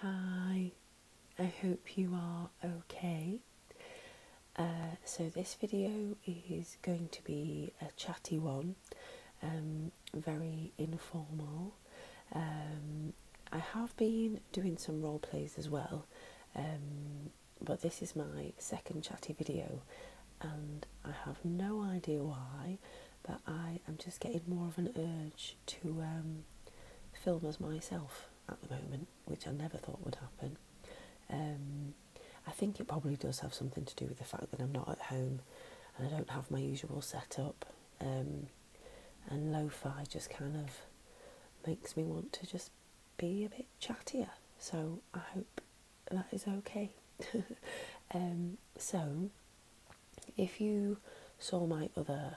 Hi, I hope you are okay. Uh, so this video is going to be a chatty one, um, very informal. Um, I have been doing some role plays as well, um, but this is my second chatty video and I have no idea why, but I am just getting more of an urge to um, film as myself at the moment, which I never thought would happen. Um, I think it probably does have something to do with the fact that I'm not at home and I don't have my usual setup. Um, and lo fi just kind of makes me want to just be a bit chattier. So I hope that is okay. so, if you saw my other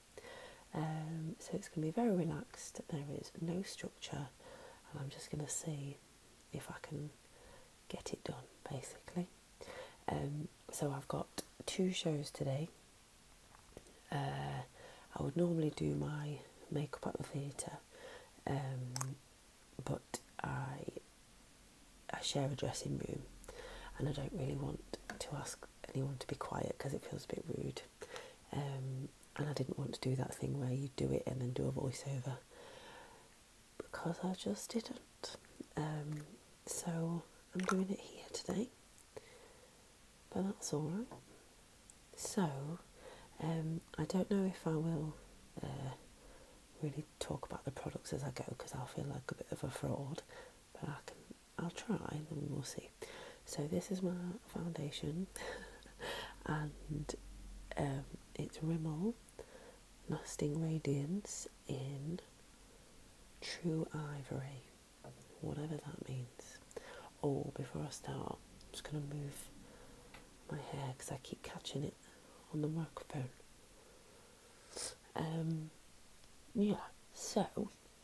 Um, so it's going to be very relaxed. There is no structure, and I'm just going to see if I can get it done basically. Um, so I've got two shows today. Uh, I would normally do my makeup at the theatre, um, but I I share a dressing room, and I don't really want to ask anyone to be quiet because it feels a bit rude. Um, and I didn't want to do that thing where you do it and then do a voiceover because I just didn't. Um, so I'm doing it here today, but that's all right. So um, I don't know if I will uh, really talk about the products as I go because i feel like a bit of a fraud, but I can I'll try, and we'll see. So this is my foundation, and um, it's Rimmel Lasting Radiance in True Ivory, whatever that means. Oh, before I start, I'm just gonna move my hair because I keep catching it on the microphone. Um, yeah, so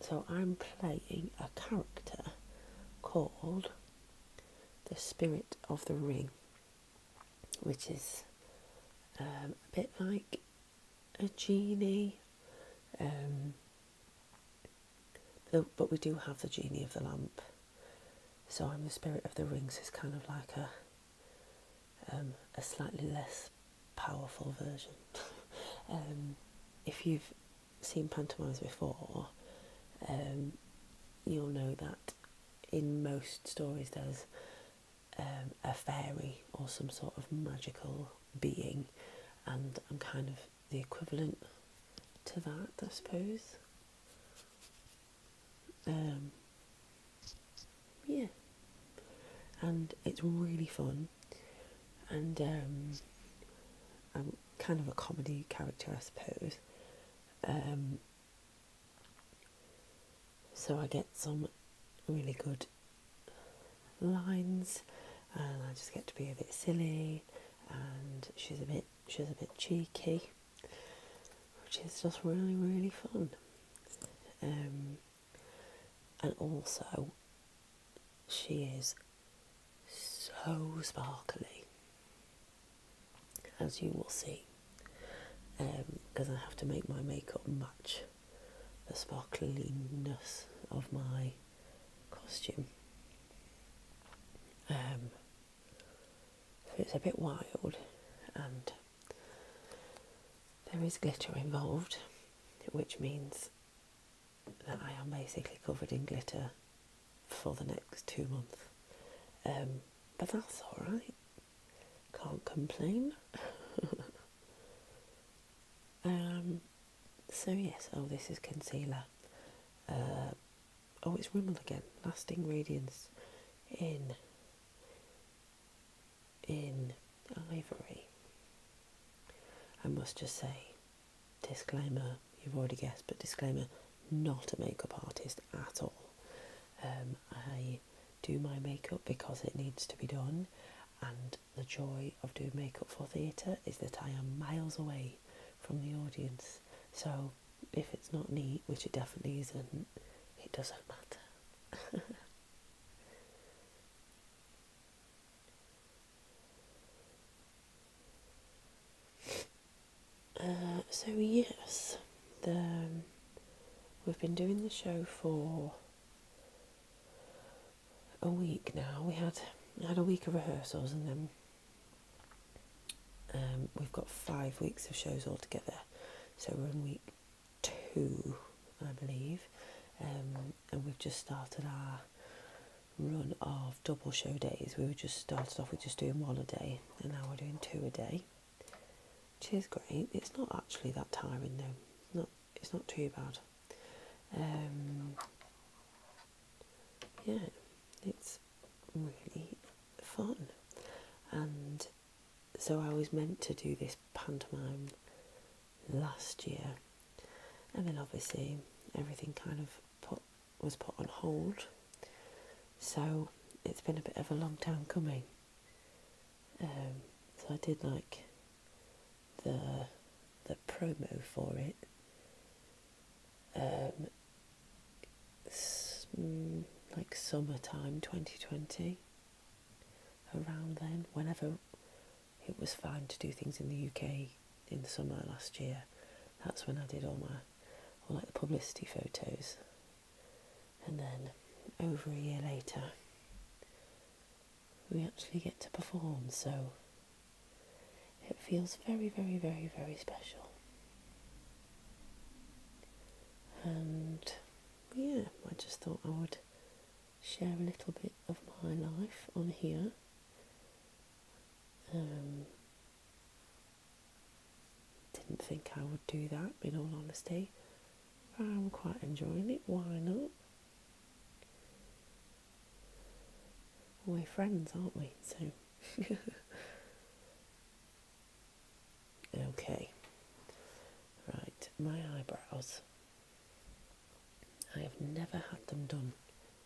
So I'm playing a character called the Spirit of the Ring, which is um, a bit like a genie. Um, but we do have the genie of the lamp. So I'm the spirit of the rings is kind of like a um, a slightly less powerful version. Um, if you've seen pantomimes before, um, you'll know that in most stories there's um, a fairy or some sort of magical being, and I'm kind of the equivalent to that, I suppose. Um, yeah, and it's really fun, and kind of a comedy character, I suppose. Um, so I get some really good lines, and I just get to be a bit silly, and she's a bit she's a bit cheeky, which is just really really fun. Um, and also, she is so sparkly, as you will see, because um, I have to make my makeup match the sparkliness of my costume. Um, it's a bit wild, and there is glitter involved, which means that I am basically covered in glitter for the next two months. Um, but that's alright. Can't complain. Um, so, yes, oh, this is concealer. Uh, oh, it's Rimmel again. Lasting Radiance in in ivory. I must just say, disclaimer, you've already guessed, but disclaimer, not a makeup artist at all. Um, I do my makeup because it needs to be done, and the joy of doing makeup for theatre is that I am miles away from the audience. So if it's not neat, which it definitely isn't, it doesn't matter. Uh, so yes, um, we've been doing the show for a week now. We had had a week of rehearsals, and then um, we've got five weeks of shows altogether. So we're in week two, I believe, um, and we've just started our run of double show days. We were just started off with just doing one a day, and now we're doing two a day, which is great. It's not actually that tiring though. Not it's not too bad. Um, yeah, it's really fun, and so I was meant to do this pantomime last year, and then obviously everything kind of put was put on hold. So it's been a bit of a long time coming. Um, so I did like the the promo for it. Um, mm, like summertime 2020, around then, whenever it was fine to do things in the UK in summer last year. That's when I did all my all like the publicity photos. And then over a year later we actually get to perform so it feels very very very very special. And yeah, I just thought I would share a little bit of my life on here um, didn't think I would do that, in all honesty. But I'm quite enjoying it. Why not? We're friends, aren't we? So. okay. Right, my eyebrows. I have never had them done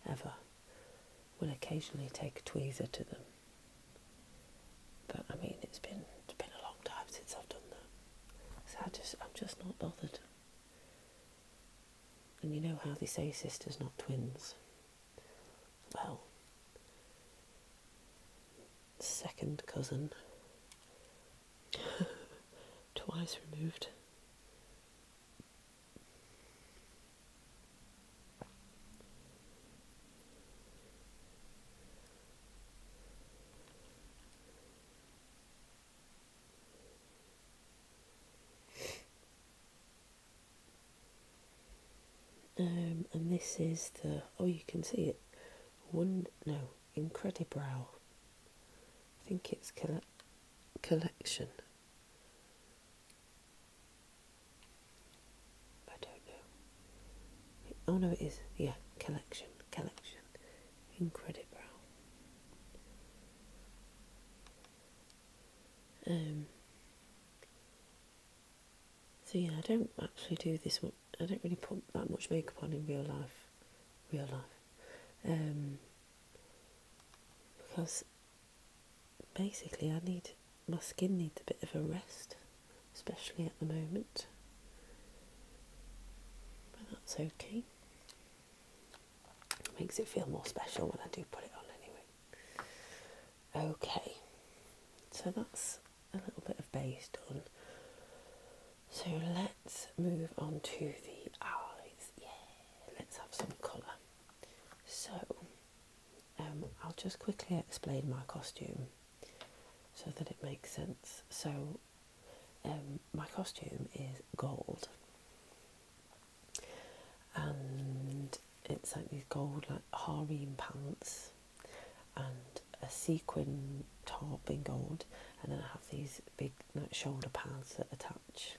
ever, will occasionally take a tweezer to them. But I mean, it's been it's been a long time since I've done that, so I just I'm just not bothered. And you know how they say sisters, not twins. Well, second cousin, twice removed. Um, and this is the oh you can see it one no incredibrow i think it's collection I don't know. Oh no, it is. Yeah, collection, collection in credit brow. Um. So yeah, I don't actually do this I don't really put that much makeup on in real life. Real life. Um, because basically I need my skin needs a bit of a rest, especially at the moment. But that's okay. makes it feel more special when I do put it on anyway. Okay, so that's a little bit of base done. So let's move on to the eyes. Yeah, let's have some colour. So um, I'll just quickly explain my costume so that it makes sense. So, um, my costume is gold, and it's like these gold like harem pants and a sequin top in gold, and then I have these big shoulder pads that attach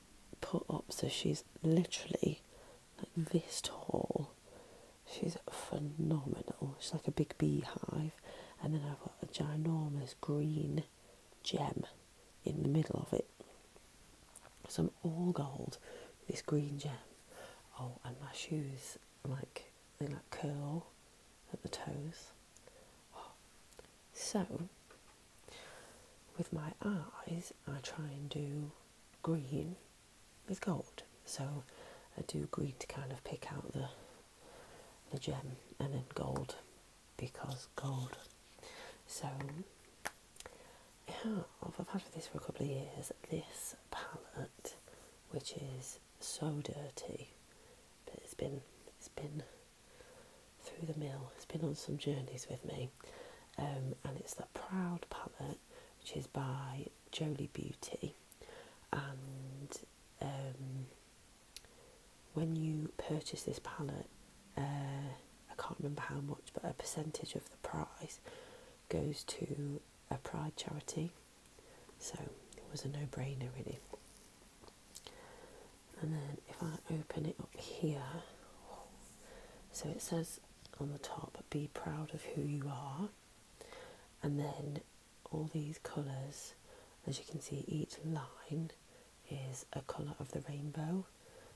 put up, so she's literally like this tall. She's phenomenal. She's like a big beehive, and then I've got a ginormous green gem in the middle of it. Some all gold, this green gem. Oh, and my shoes like they like curl at the toes. Oh, so with my eyes, I try and do green with gold. So I do green to kind of pick out the the gem, and then gold because gold. So yeah, I've had this for a couple of years. This palette, which is so dirty, but it's been it's been through the mill. It's been on some journeys with me, um, and it's the Proud palette, which is by Jolie Beauty. And um, when you purchase this palette, uh, I can't remember how much, but a percentage of the price goes to a Pride charity. So it was a no brainer, really. And then if I open it up here, so it says on the top, be proud of who you are. And then all these colours, as you can see, each line is a colour of the rainbow.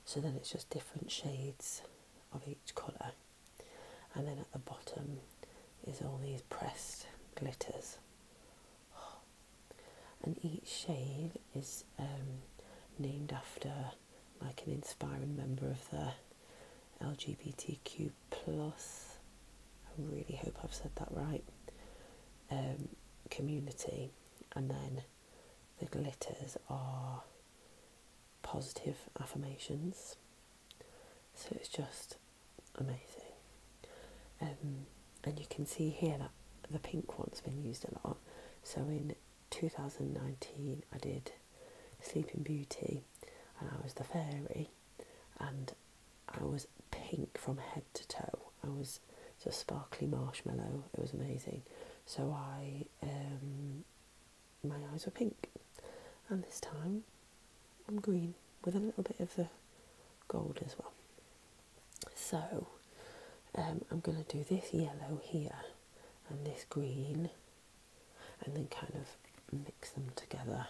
So then it's just different shades of each colour. And then at the bottom is all these pressed glitters. And each shade is um, named after like an inspiring member of the LGBTQ plus. I really hope I've said that right. Um, community, and then the glitters are positive affirmations. So it's just amazing. Um, and you can see here that the pink one's been used a lot. So in 2019 I did Sleeping Beauty and I was the fairy and I was pink from head to toe. I was just sparkly marshmallow. It was amazing. So I, um, my eyes were pink and this time I'm green with a little bit of the gold as well. So um, I'm going to do this yellow here and this green and then kind of mix them together.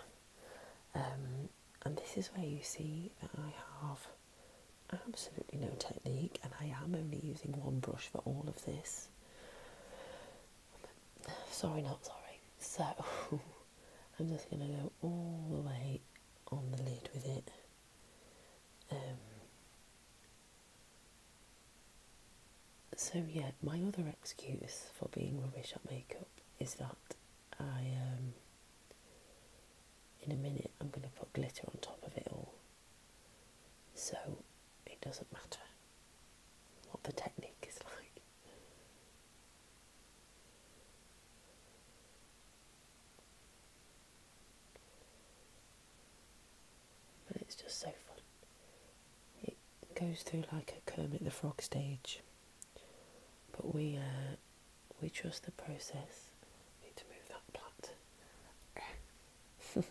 Um, and this is where you see that I have absolutely no technique and I am only using one brush for all of this. Sorry, not sorry. So I'm just going to go all the way on the lid with it. Um, so, yeah, my other excuse for being rubbish at makeup is that I, um, in a minute, I'm going to put glitter on top of it all. So, it doesn't matter what the technique is like. But it's just so fun. It goes through like a Kermit the Frog stage, but we uh, we trust the process. Need to move that plat.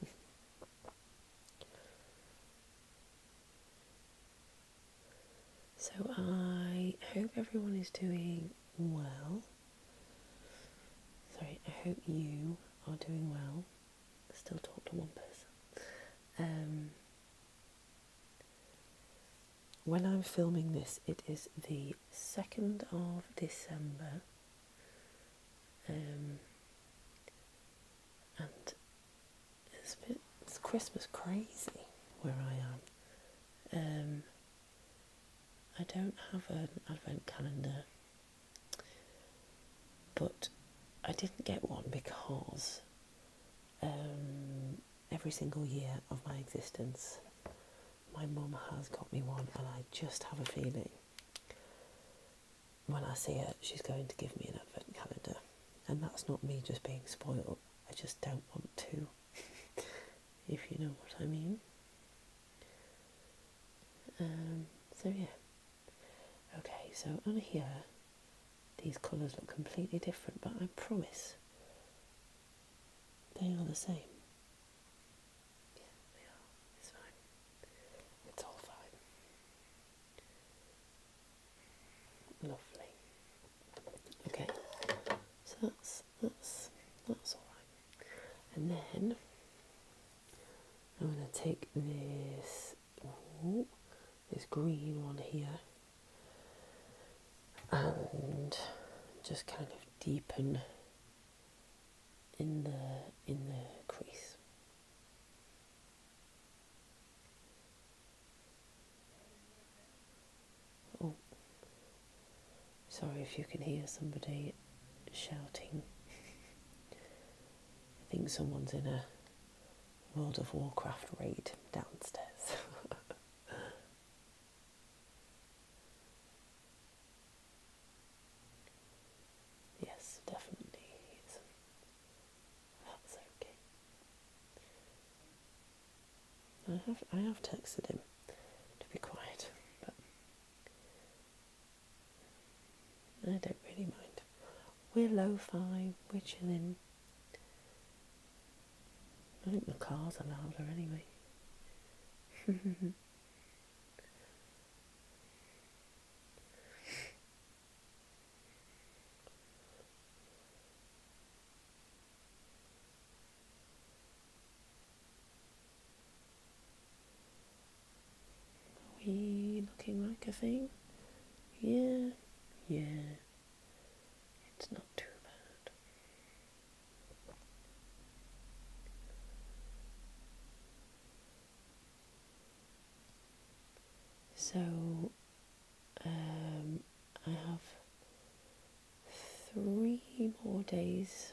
so I hope everyone is doing well. Sorry, I hope you are doing well still talk to one person. Um, when I'm filming this, it is the 2nd of December, um, and it's, a bit, it's Christmas crazy where I am. Um, I don't have an advent calendar but I didn't get one because um, every single year of my existence, my mum has got me one, and I just have a feeling when I see it, she's going to give me an advent calendar. And that's not me just being spoiled, I just don't want to, if you know what I mean. Um, so yeah. Okay, so on here, these colours look completely different, but I promise they are the same. Yeah, they are. It's fine. It's all fine. Lovely. Okay, so that's that's that's all right. And then I'm going to take this this green one here and just kind of deepen in the in the crease. Oh, sorry if you can hear somebody shouting. I think someone's in a World of Warcraft raid downstairs. yes, definitely. That's okay. I have I have texted him to be quiet, but I don't really mind. We're low fi we're chilling. I think the cars are louder anyway. Are we looking like a thing? Yeah, yeah. It's not too bad. So, um, I have three more days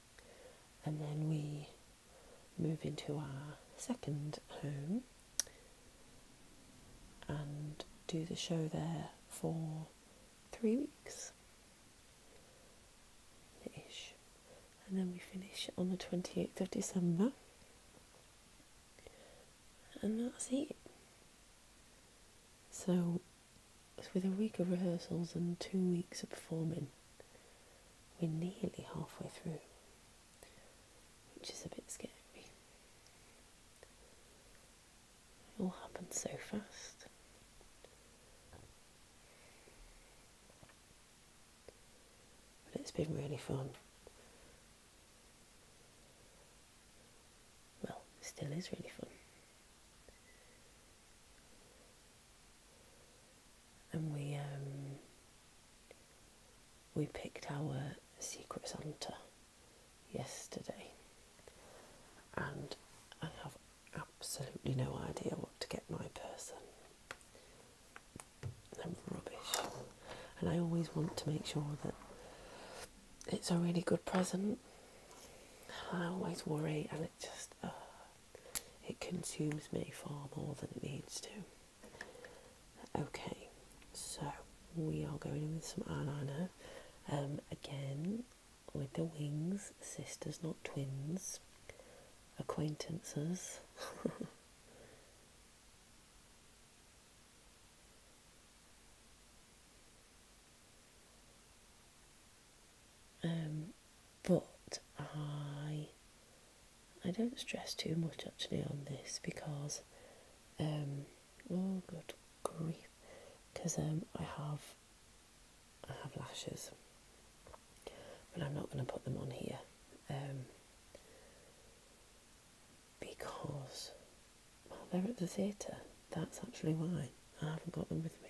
and then we move into our second home and do the show there for three weeks ish and then we finish on the 28th of December and that's it so so with a week of rehearsals and two weeks of performing, we're nearly halfway through, which is a bit scary. It all happened so fast. But it's been really fun. Well, still is really fun and we um, we picked our secret Santa yesterday, and I have absolutely no idea what to get my person. I'm rubbish, and I always want to make sure that it's a really good present. I always worry, and it just it consumes me far more than it needs to. Okay, so we are going in with some eyeliner. Um, again, with the wings, sisters, not twins, acquaintances. Um, but I I don't stress too much actually on this because um, oh good grief because um, I have I have lashes but I'm not going to put them on here because well they're at the theatre that's actually why I haven't got them with me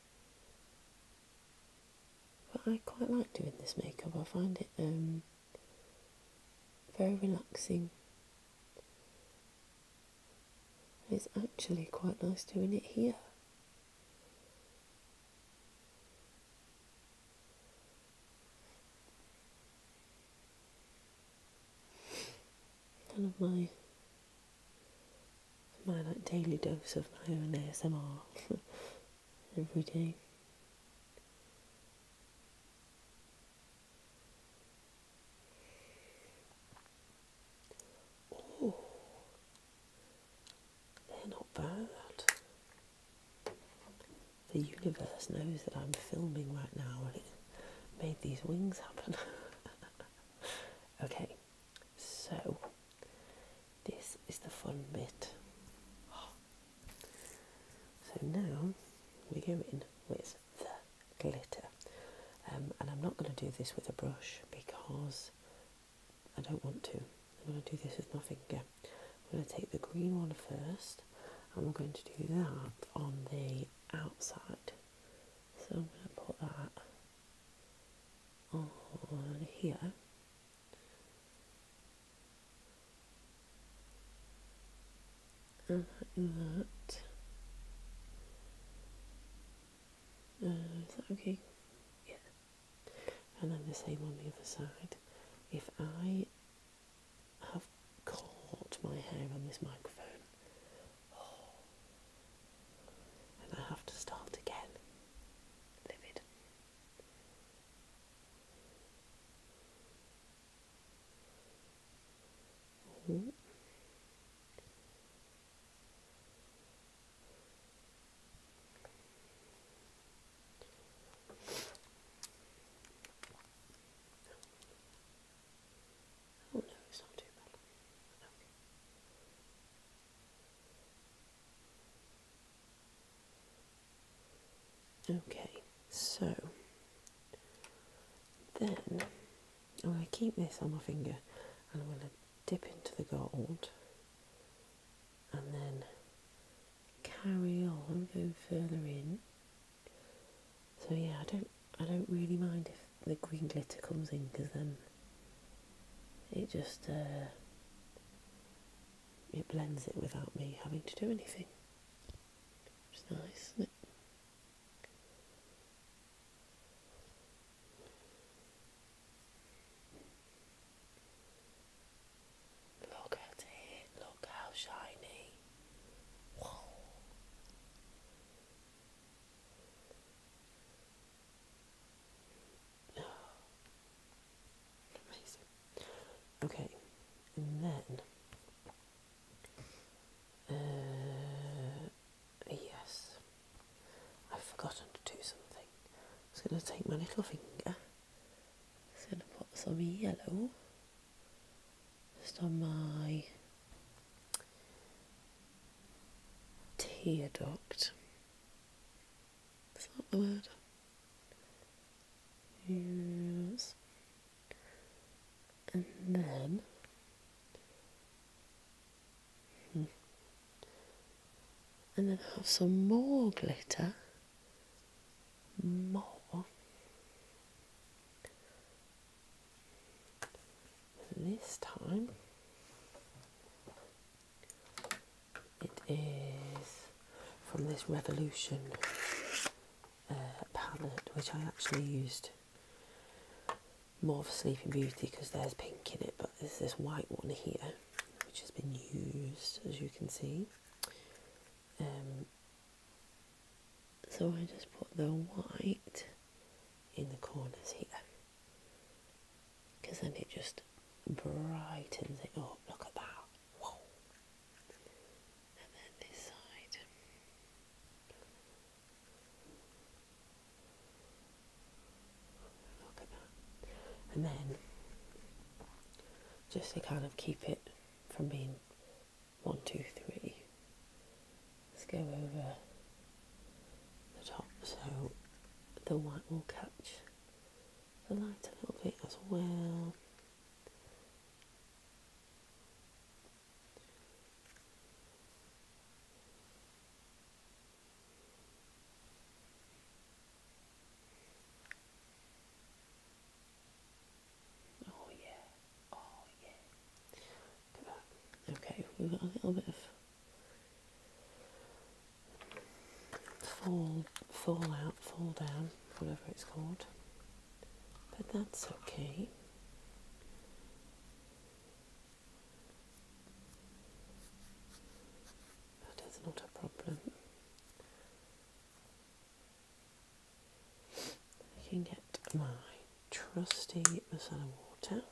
But I quite like doing this makeup, I find it um, very relaxing. it's actually quite nice doing it here. Kind of my my like daily dose of my own ASMR. every day. they're not bad. The universe knows that I'm filming right now and it made these wings happen. okay, so, this is the fun bit. So now we go in with the glitter. Um, and I'm not going to do this with a brush because I don't want to. I'm going to do this with my finger. I'm going to take the green one first and we're going to do that on the outside. So I'm going to put that on here and uh, like uh, that. okay? Yeah. And then the same on the other side. If I have caught my hair on this microphone, oh, and I have to start again, livid. Oh. Oh no, it's not too bad. Okay. Okay, so then I'm going to keep this on my finger and I'm going to dip into the gold and then carry on, go further in. So yeah, I don't I don't really mind if the green glitter comes in because then it just uh, it blends it without me having to do anything. Which nice, Look at it, look how shiny. Amazing. Okay, and then. Uh, yes, I've forgotten to do something. I'm going to take my little finger, It's going to put some yellow just on my tear duct. Is Use. And then. Hmm. And then have some more glitter. More. this time it is from this Revolution uh, palette, which I actually used more for Sleeping Beauty because there's pink in it, but there's this white one here which has been used as you can see. Um, so I just put the white in the corners here because then it just brightens it up. Look at that. And then this side. Look at that. And then just to kind of keep it from being one, two, three. Let's go over the top so the white will catch the light a little bit as well. Oh yeah, oh yeah. Okay, we've got a little bit of fall, fall out, fall down, whatever it's called. But that's okay. That is not a problem. I can get my trusty micellar water.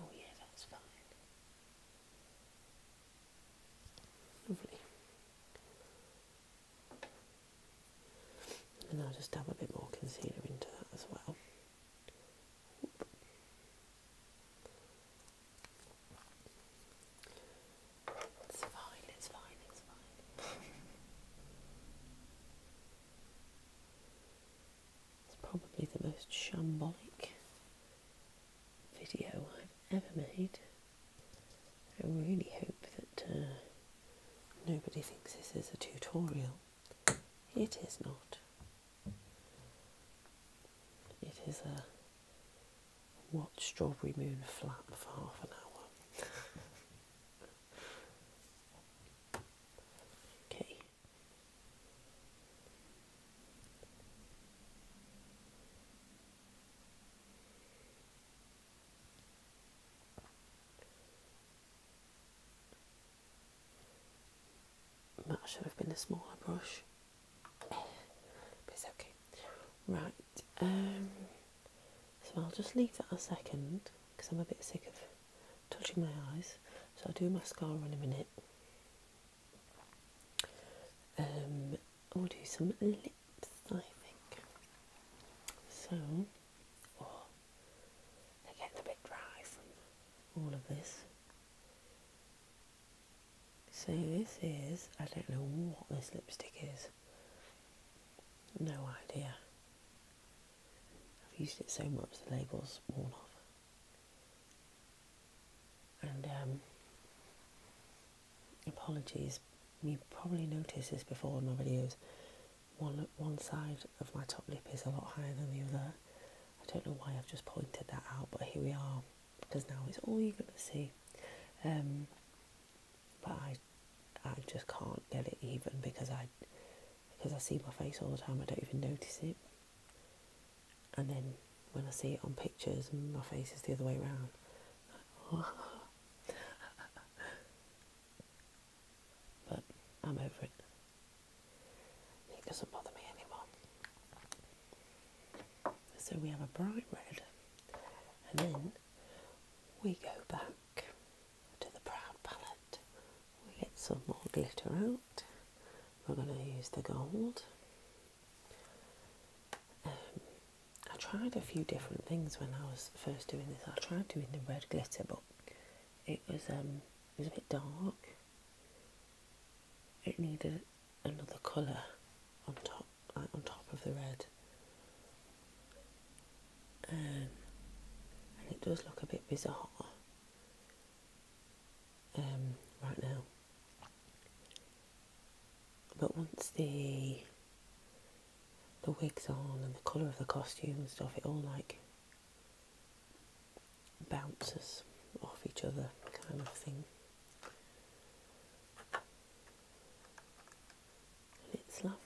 Oh, yeah, that's fine. Lovely. And I'll just dab a bit more concealer into that as well. It's fine, it's fine, it's fine. it's probably the most shambolic video I've ever made. I really hope that uh, nobody thinks this is a tutorial. It is not. It is a watch Strawberry Moon flap for half an hour. okay. That should have been a smaller brush. But it's okay. Right, um, so I'll just leave that a second because I'm a bit sick of touching my eyes. So I'll do mascara in a minute. Um, I'll do some lips, I think. So, oh, they're getting a bit dry all of this. So this is, I don't know what this lipstick is. No idea. I've used it so much the label's worn off. And um, apologies, you probably noticed this before in my videos. One, one side of my top lip is a lot higher than the other. I don't know why I've just pointed that out, but here we are because now it's all you're going to see. Um, but I, I just can't get it even because I, because I see my face all the time. I don't even notice it. And then when I see it on pictures, my face is the other way around. but I'm over it. It doesn't bother me anymore. So we have a bright red, and then we go back to the proud palette. We get some more glitter out. We're going to use the gold. Um, I tried a few different things when I was first doing this. I tried doing the red glitter, but it was um, it was a bit dark. It needed another colour on top, like on top of the red. Um, and it does look a bit bizarre um, right now. But once the the wigs on and the colour of the costume and stuff, it all like bounces off each other kind of thing and it's lovely.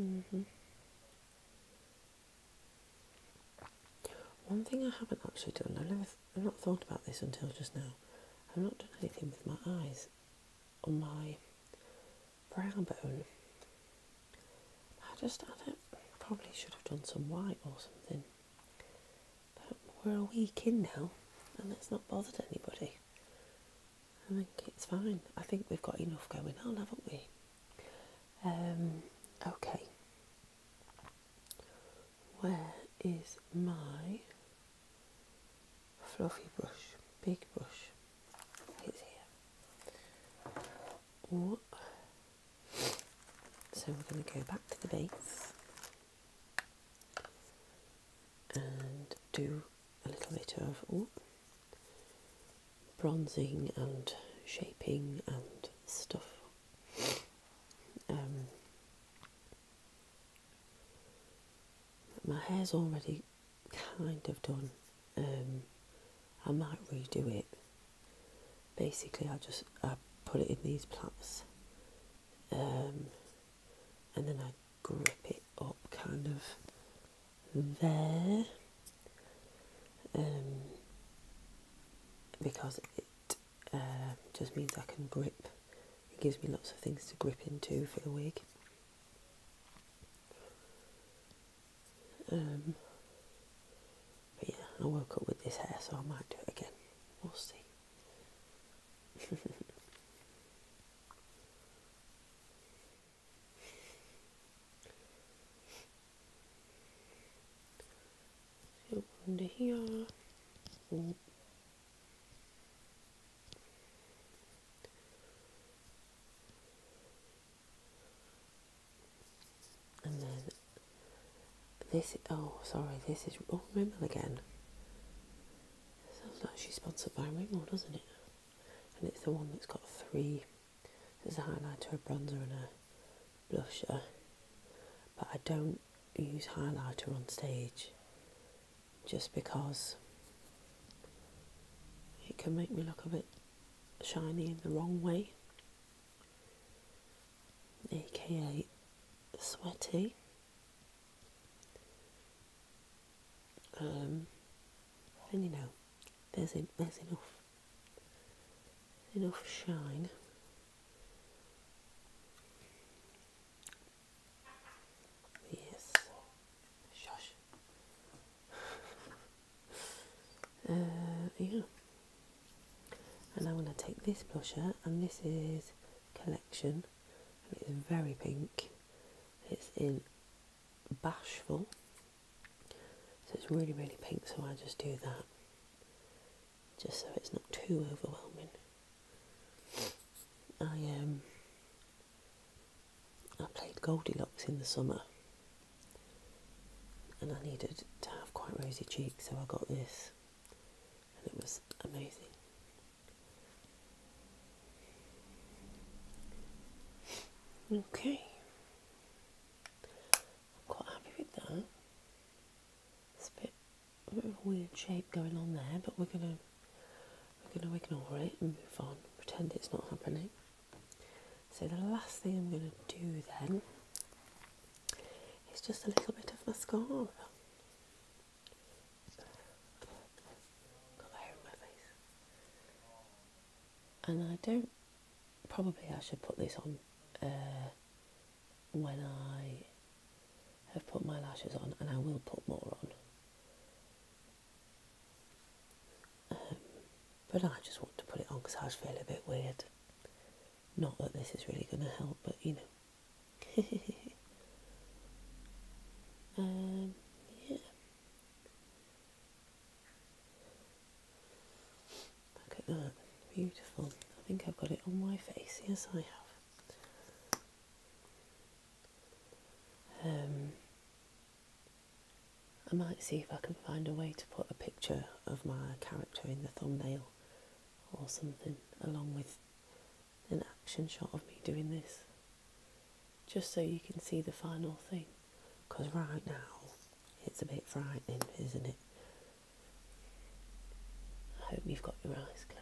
Mm-hmm. One thing I haven't actually done, I've never, I've not thought about this until just now. I've not done anything with my eyes on my brow bone. I just, I don't, probably should have done some white or something. But we're a week in now, and it's not bothered anybody. I think it's fine. I think we've got enough going on, haven't we? Um, okay, where is my fluffy brush, big brush? It's here. So we're going to go back to the base and do a little bit of bronzing and shaping and stuff. Um, my hair's already kind of done. Um, I might redo it. Basically, I just I put it in these plaits, um, and then I grip it up kind of there um, because it um, just means I can grip. It gives me lots of things to grip into for the wig. Um, but yeah, I woke up with this hair, so I might do it again. We'll see. So under here. And then this, oh, sorry, this is, oh, Rimmel again. Sounds like she's sponsored by Rimmel, doesn't it? And it's the one that's got three there's a highlighter, a bronzer, and a blusher, but I don't use highlighter on stage just because it can make me look a bit shiny in the wrong way, aka sweaty. Um, and you know, there's, en- there's enough enough shine. Yes. Shush. Uh, yeah. And i want to take this blusher, and this is Collection, and it's very pink. It's in Bashful. So it's really, really pink, so I just do that just so it's not too overwhelming. I um, I played Goldilocks in the summer and I needed to have quite rosy cheeks, so I got this and it was amazing. Okay. I'm quite happy with that. It's a bit, weird shape going on there, but we're gonna we're gonna ignore it and move on, pretend it's not happening. So the last thing I'm gonna do then is just a little bit of mascara. Got hair in my face and I don't. Probably I should put this on uh, when I have put my lashes on, and I will put more on. Um, but I just want to put it on because I was feeling a bit weird. Not that this is really going to help, but you know. um, yeah. Look at that, beautiful. I think I've got it on my face. Yes, I have. Um, I might see if I can find a way to put a picture of my character in the thumbnail or something along with an action shot of me doing this just so you can see the final thing because right now it's a bit frightening, isn't it? I hope you've got your eyes closed.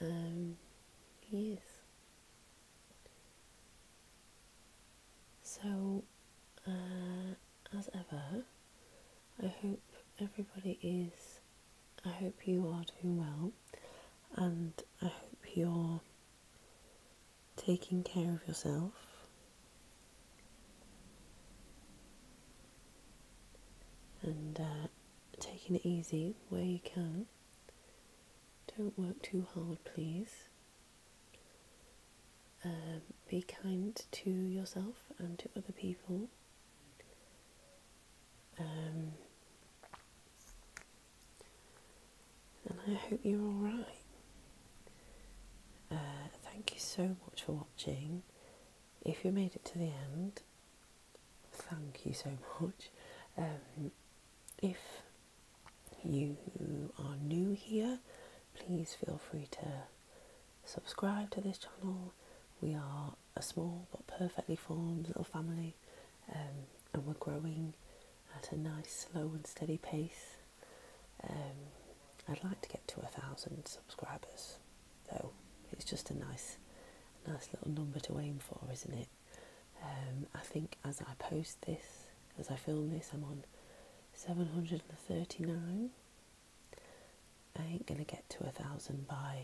Um, yes. So, uh, as ever, I hope everybody is, I hope you are doing well, and I hope you're taking care of yourself. And uh, taking it easy where you can. Don't work too hard, please. Um, be kind to yourself and to other people. Um, and I hope you're alright. Uh, thank you so much for watching. If you made it to the end, thank you so much. Um, if you are new here, please feel free to subscribe to this channel. We are a small but perfectly formed little family um, and we're growing at a nice, slow, and steady pace. Um, I'd like to get to a thousand subscribers, though. It's just a nice, nice little number to aim for, isn't it? Um, I think as I post this, as I film this, I'm on 739. I ain't gonna get to a thousand by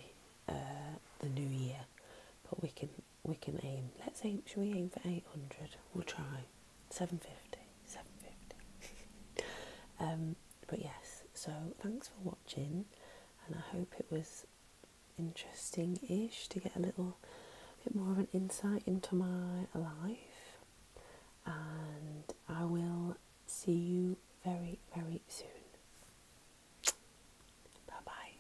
uh, the new year, but we can we can aim. Let's aim, should we aim for 800? We'll try. 750, 750. um, but yes, so thanks for watching, and I hope it was interesting ish to get a little bit more of an insight into my life. And I will see you very, very soon. Bye bye.